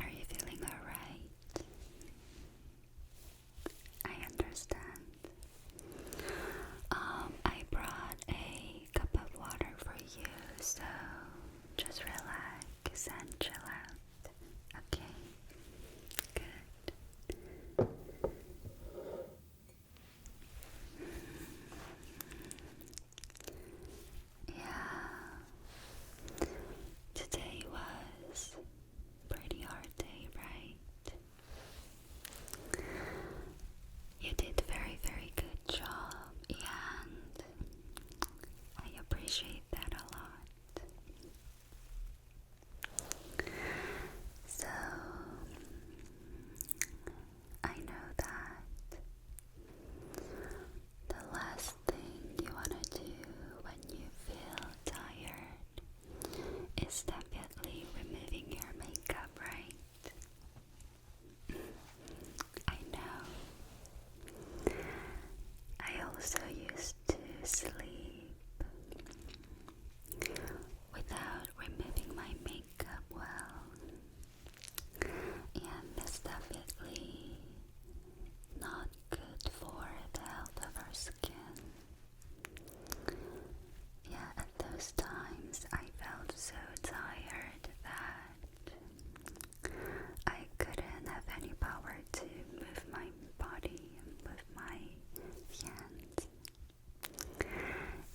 Are you feeling alright? I understand. Um, I brought a cup of water for you, so just relax and chill out. Okay? Good. Yeah. Today was pretty hard day, right? You did a very, very good job, and I appreciate that a lot. So, I know that the last thing you want to do when you feel tired is definitely removing your makeup, right? I know. I also used to sleep without removing my makeup well, and definitely not good for the health of our skin. Yeah, at those times I felt so tired that I couldn't have any power to move my body and move my hands.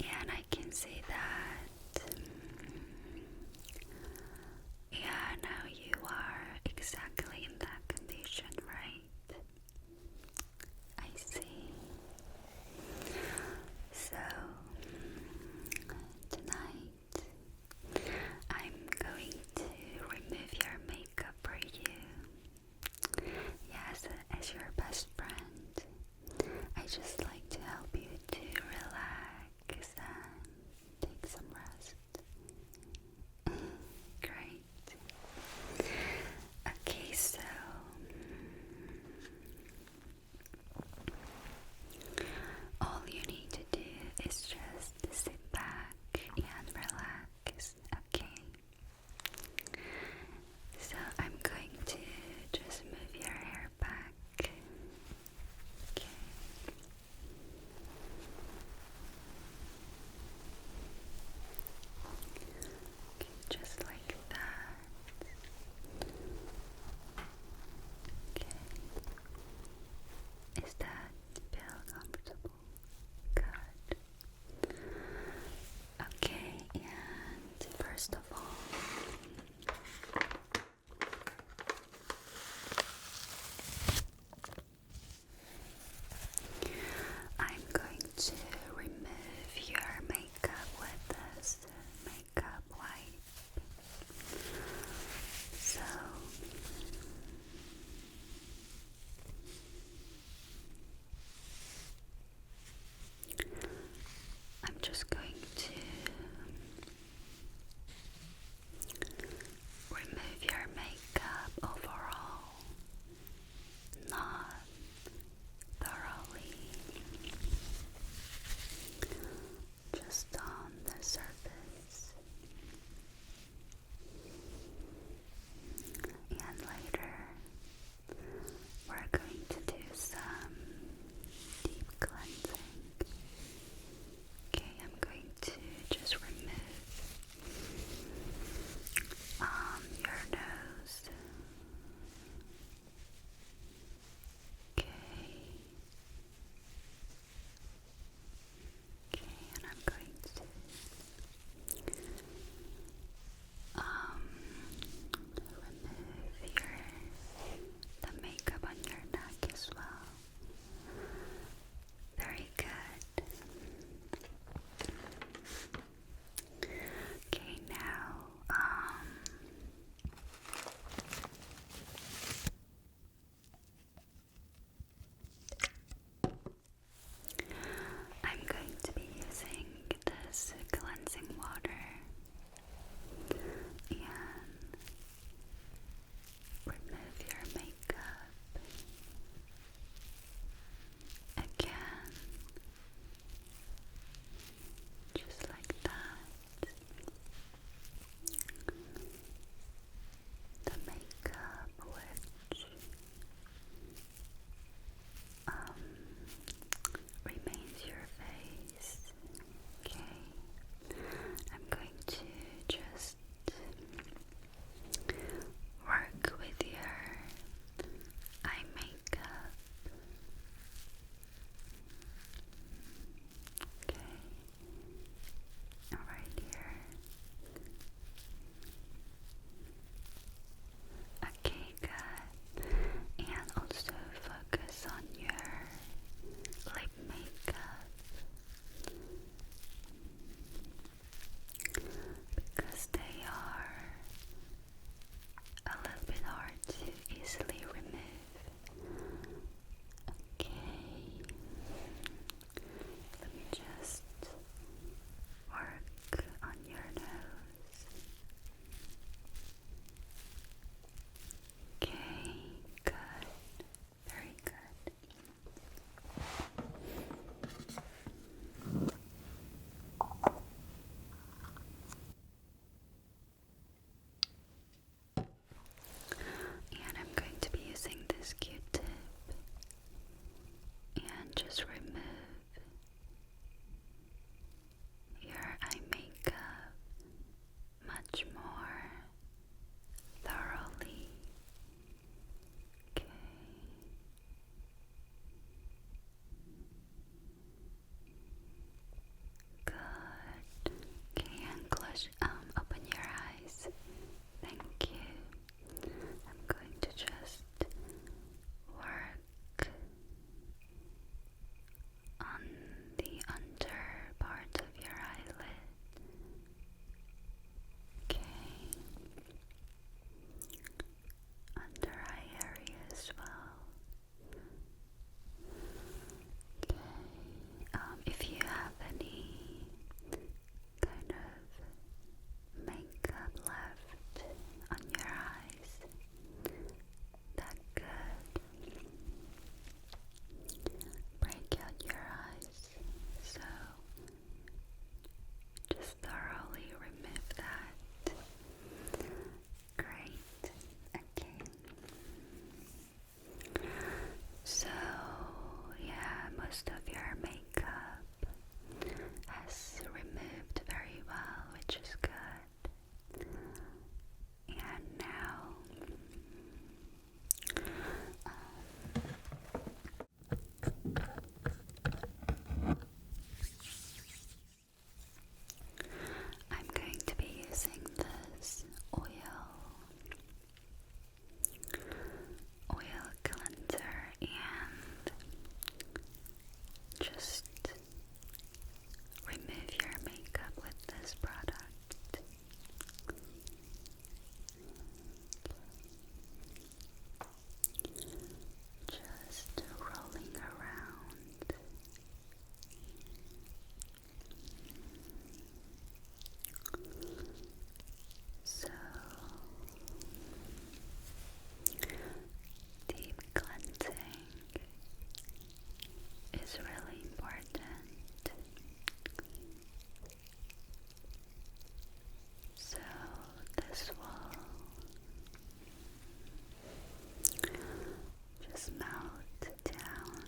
And I can say that um, yeah, now you are exactly in that condition, right? I see. So, tonight I'm going to remove your makeup for you. Yes, as your best friend, I just like to help you to relax relax and take some rest. Great. Okay, so all you need to do is just sit back and relax, okay? So I'm going to just move your hair back Okay. Okay, just like that. Okay. Is that feel comfortable? Good. Okay, and first of all, I'm going to remove your makeup with this makeup wipe. So I'm just going to Remove your makeup overall, not thoroughly, just on the surface. And later, we're going to do some deep cleansing. Okay, I'm going to just remove um, your nose. Okay. Okay, and I'm going to um remove your the makeup on your neck as well. Very good. Okay, now, um, I'm going to be using this cleansing water and remove your makeup again, just like that. The makeup which um, remains your face Okay, I'm going to just work with your eye makeup. Okay, right here. Okay, good. And also focus on your lip makeup because they are a little bit hard to easily remove. Okay, let me just work on your nose. Okay, good. Very good. And I'm going to be using this Q tip and just remove your eye makeup much more thoroughly. Okay. Good. Okay, and close, um, open your eyes. Thank you. I'm going to just work on the under part of your eyelid. Okay. Under eye area as well. Okay. Um, if you have any kind of makeup left on your eyes, that could break out your eyes. So just thoroughly remove that. Great. Okay. So, yeah, most of your makeup has removed very well, which is good. And now I'm going to be using this oil oil cleanser and just remove your makeup with this product. Just rolling around. So deep cleansing is really important so this will just melt down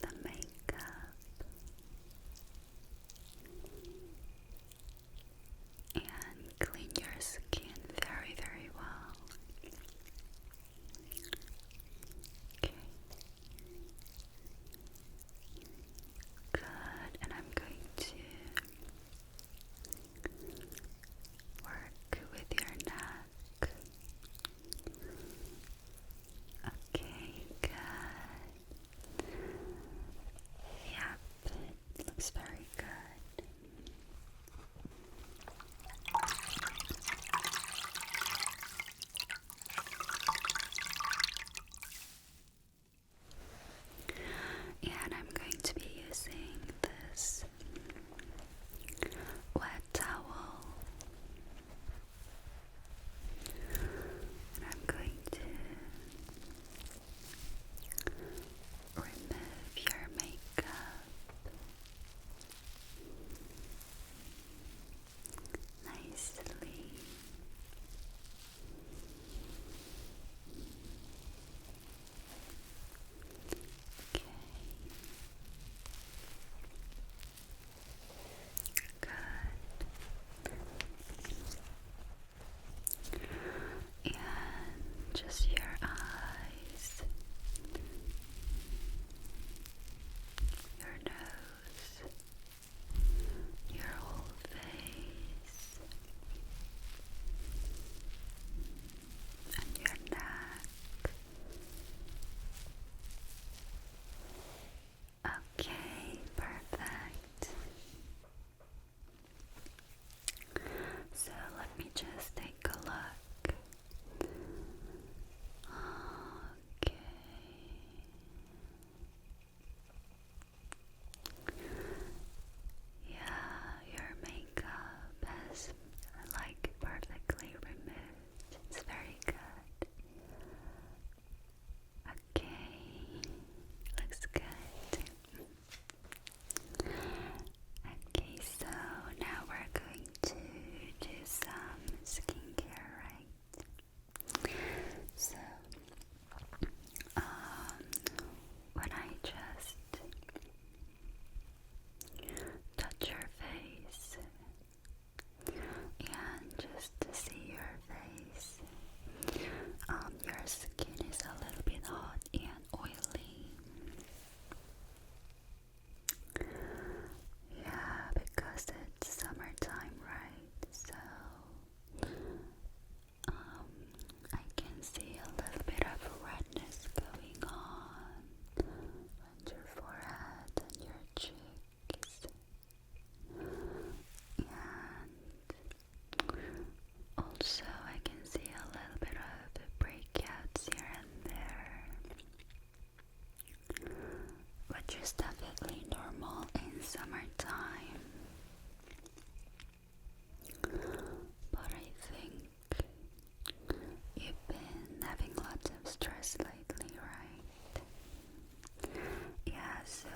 the makeup and clean your skin very, very well. Okay. Good, and I'm going to work with your neck. Okay, good. Yep, looks very good. And I'm going to be using this wet towel, I'm going to remove your makeup nicely. Okay. Good. And just your eyes your nose, your whole face, and your neck. Okay, perfect. So let me just take a look Okay. Yeah, your makeup has like perfectly removed. It's very good. Okay, looks good. Okay, so now we're going to do some skincare, right? So, um, when I just touch your face and just to see your face, um, your skin is a little bit hot and oily. Yeah, because it's summertime, right? So um, I can see a little bit of redness going on on your forehead and your cheeks. And also I can see a little bit of breakouts here and there which is definitely normal in summertime. But I think you've been having lots of stress lately, right? Yeah, so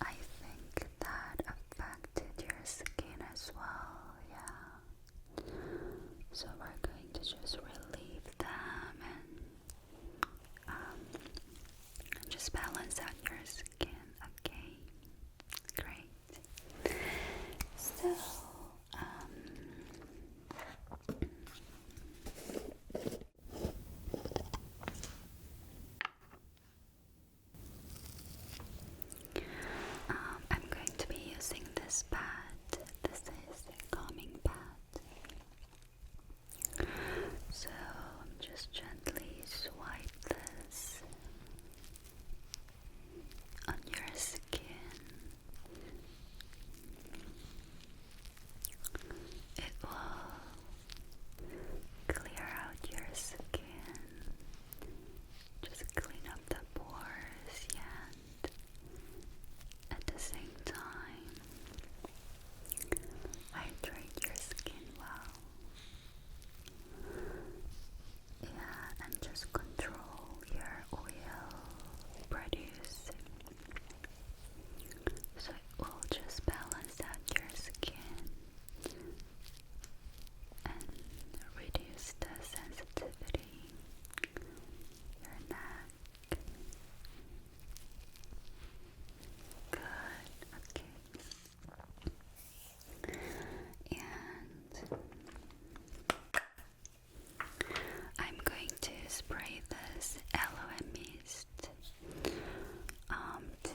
I think that affected your skin as well, yeah. So we're going to just relieve them and um, just balance your skin. Okay, great. So um, um, I'm going to be using this pad this is their calming pad. So I'm just gently swipe this on your skin. It will clear out your skin. Just clean up the pores, yeah at the same time hydrate your skin well. Yeah, and just control your oil produce so it will just balance out your skin and reduce the sensitivity your neck. Good, okay. And I'm going to spray this aloe mist um, to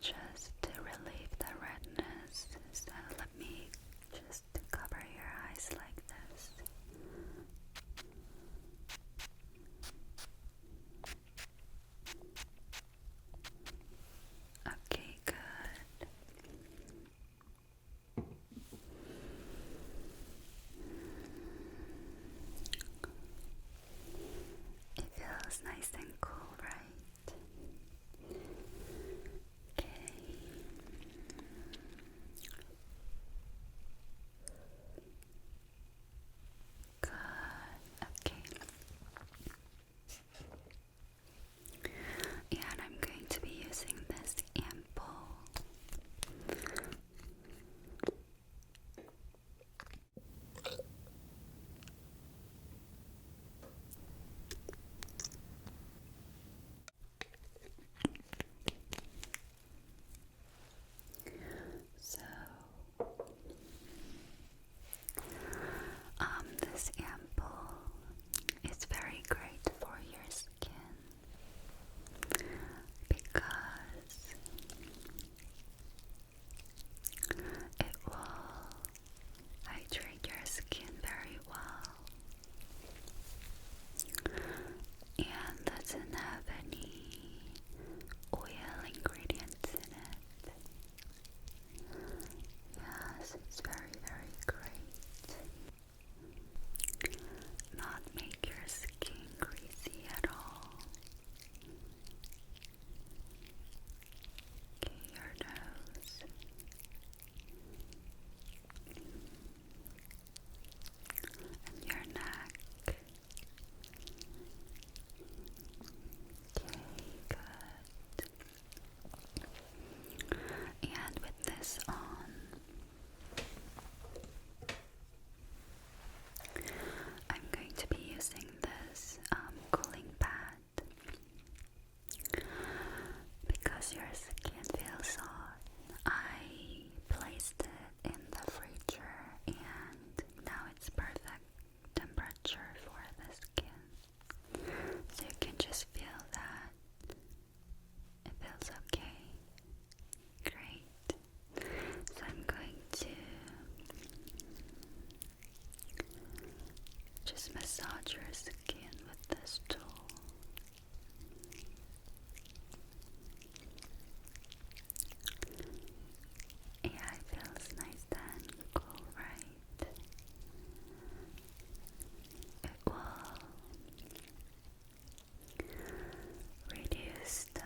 just relieve the redness. So let me just cover your eyes like this. Okay, good. It feels nice and cool, right? Okay. Good. Okay. and I'm going to be using this ample. So, um, this ampoule is very great for your skin because it will hydrate your skin very well and doesn't have any oil ingredients in it. Yes, it's very, very great. Not make your skin greasy at all. your nose your neck. good. And with this on, I'm going to be using this um, cooling pad. Because your skin feels soft, I placed it in the freezer and now it's perfect temperature for the skin. So you can just feel that it feels okay. Great. So I'm going to just massage your skin with this tool. Yeah, it feels nice and cool, right? It will reduce the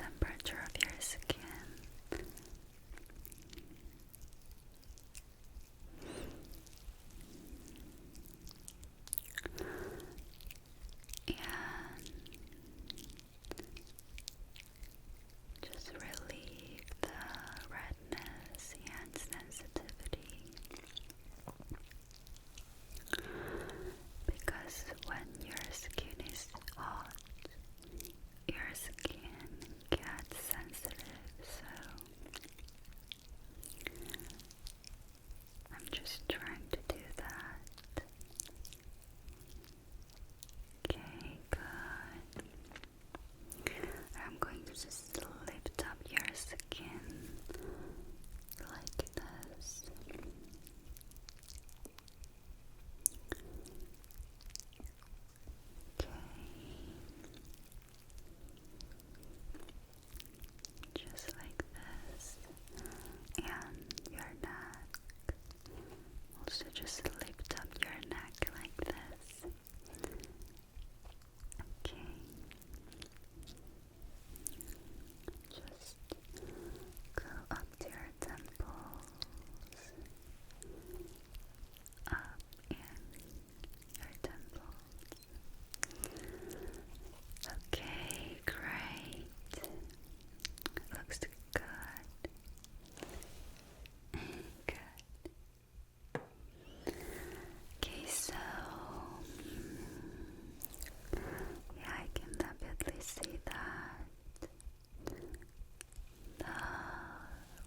temperature of your skin. And just relieve the redness and sensitivity because when your skin is hot, your skin gets sensitive, so I'm just trying to do that. Okay, good. I'm going to just lift up your skin like this. Okay. Just like this. And your neck. Also just lift up your neck like this. Okay. Just go up to your temples. Up and your temples. Okay, great. Looks good. Good. Okay, so yeah, I can definitely see that the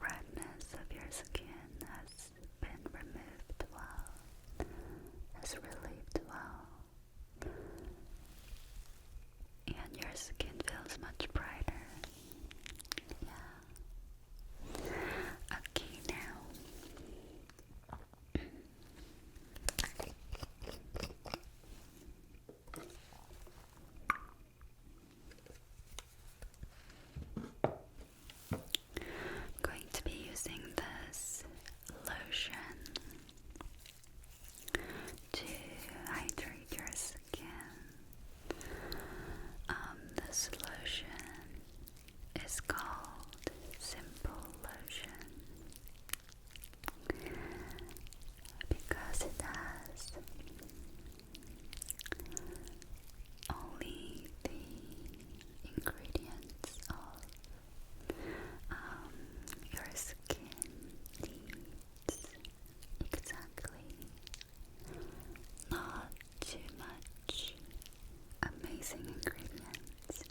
redness of your skin has has been removed well, has relieved well, and your skin feels much brighter. Yeah. Okay, now. I'm going to be using this lotion to hydrate your skin. Um, this lotion is called Simple Lotion because it has only the ingredients of um, your skin needs exactly not too much amazing ingredients.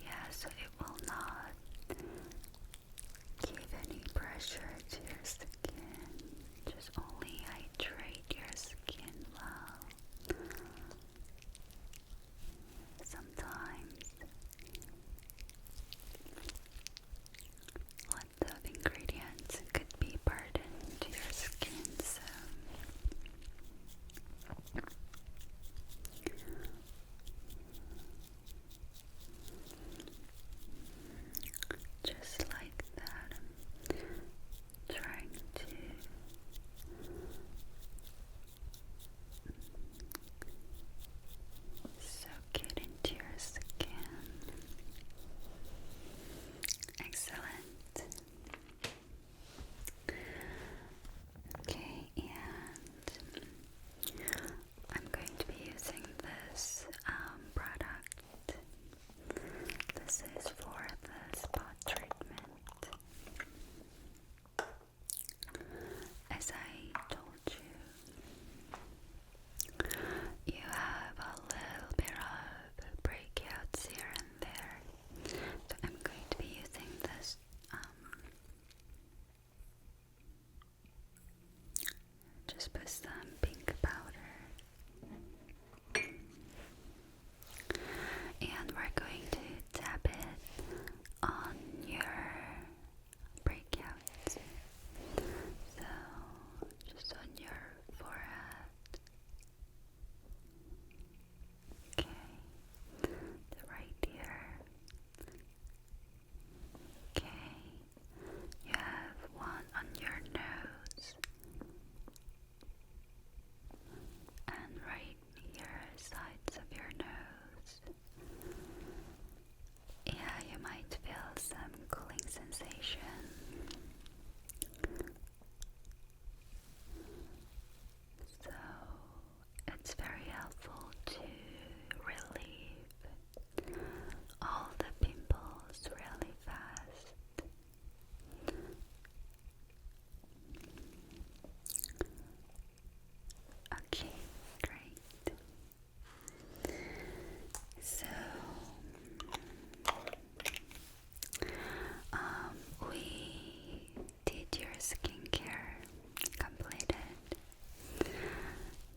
Yeah, so it will not give any pressure to your skin. Just only hydrate your skin well. Sometimes lots ingredients could be burdened to your skin, so just like that, trying to soak it into your skin. Excellent. Okay, and I'm going to be using this um, product. This is for the spot treatment. As I told you, you have a little bit of breakouts here and there. So I'm going to be using this um, just put some pink powder. And we're going to tap it on your breakouts. So, just on your forehead. Okay, right ear, Okay, you have one on your nose and right here, sides of your nose. Yeah, you might feel some cooling sensation. So it's very helpful to relieve all the pimples really fast. Okay, great. So, um, we did your skincare completed.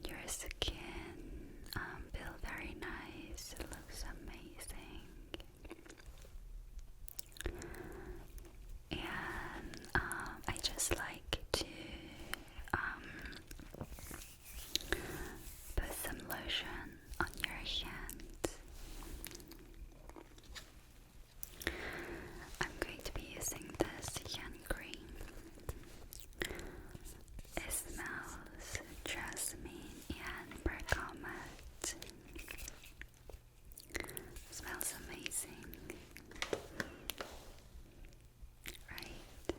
Your skin um, feels very nice. It looks amazing. And um, I just like to um, put some lotion on your hands. I'm going to be using this cream. It smells jasmine and bergamot. Smells amazing, right?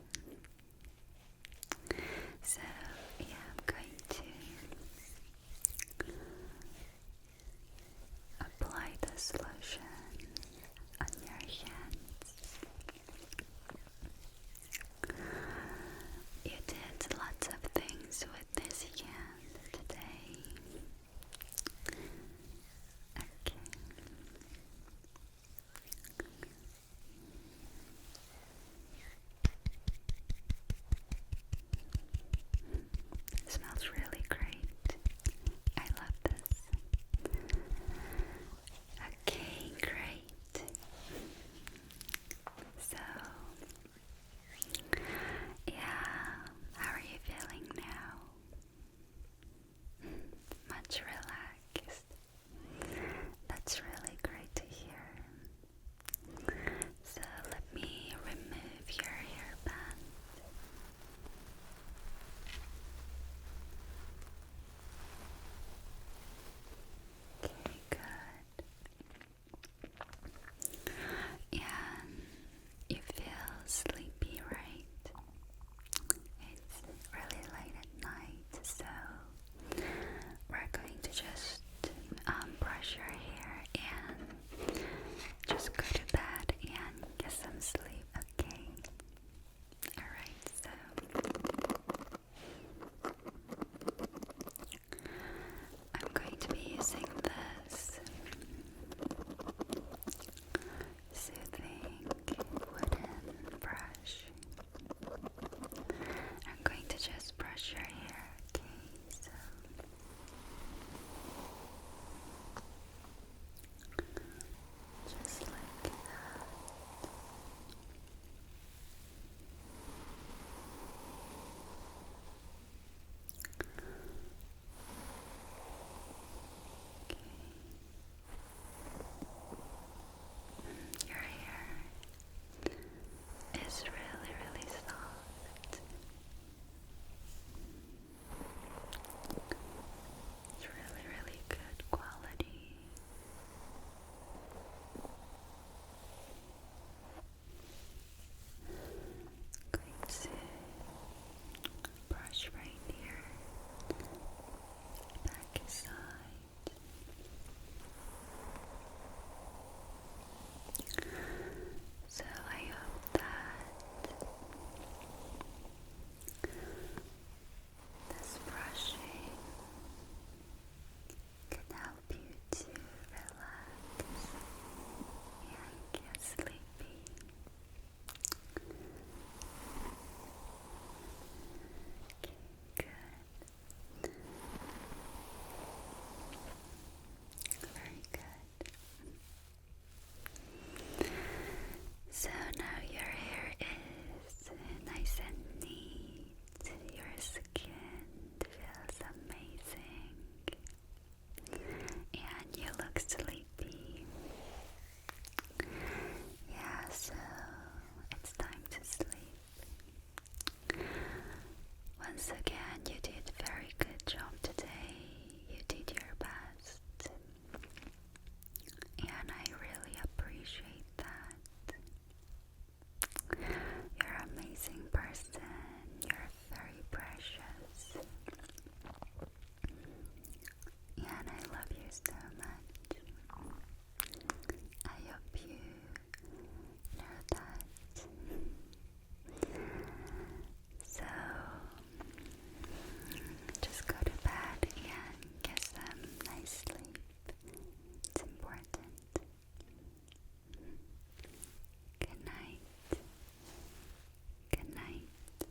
So, yeah, I'm going to Apply the solution on your hands. You did lots of things with this hand today. smells really great. I love this. Okay, great. So, yeah, how are you feeling now? Much relaxed. That's really great to hear. So, let me remove your hairband. Okay, good. And you feel sleepy, right? It's really late at night, so we're going to just um, brush your hair and just go to bed and get some sleep, Okay. Alright, so I'm going to be using this soothing wooden brush. I'm going to just brush your hair, okay? So. Just like that. Okay. Your hair is really, really soft. It's really, really good quality. i brush right here, back side. So I hope that this brushing can help you to relax and get sleepy. Okay, good. Very good. So now your hair is nice and neat. Your skin feels amazing. And you look sleepy. Yeah, so it's time to sleep. Once again, you did a very good job today. You did your best. And I really appreciate that. You're amazing person. You're very precious. And I love you so much. I hope you know that. So just go to bed and get some nice sleep. It's important. Good night. Good night.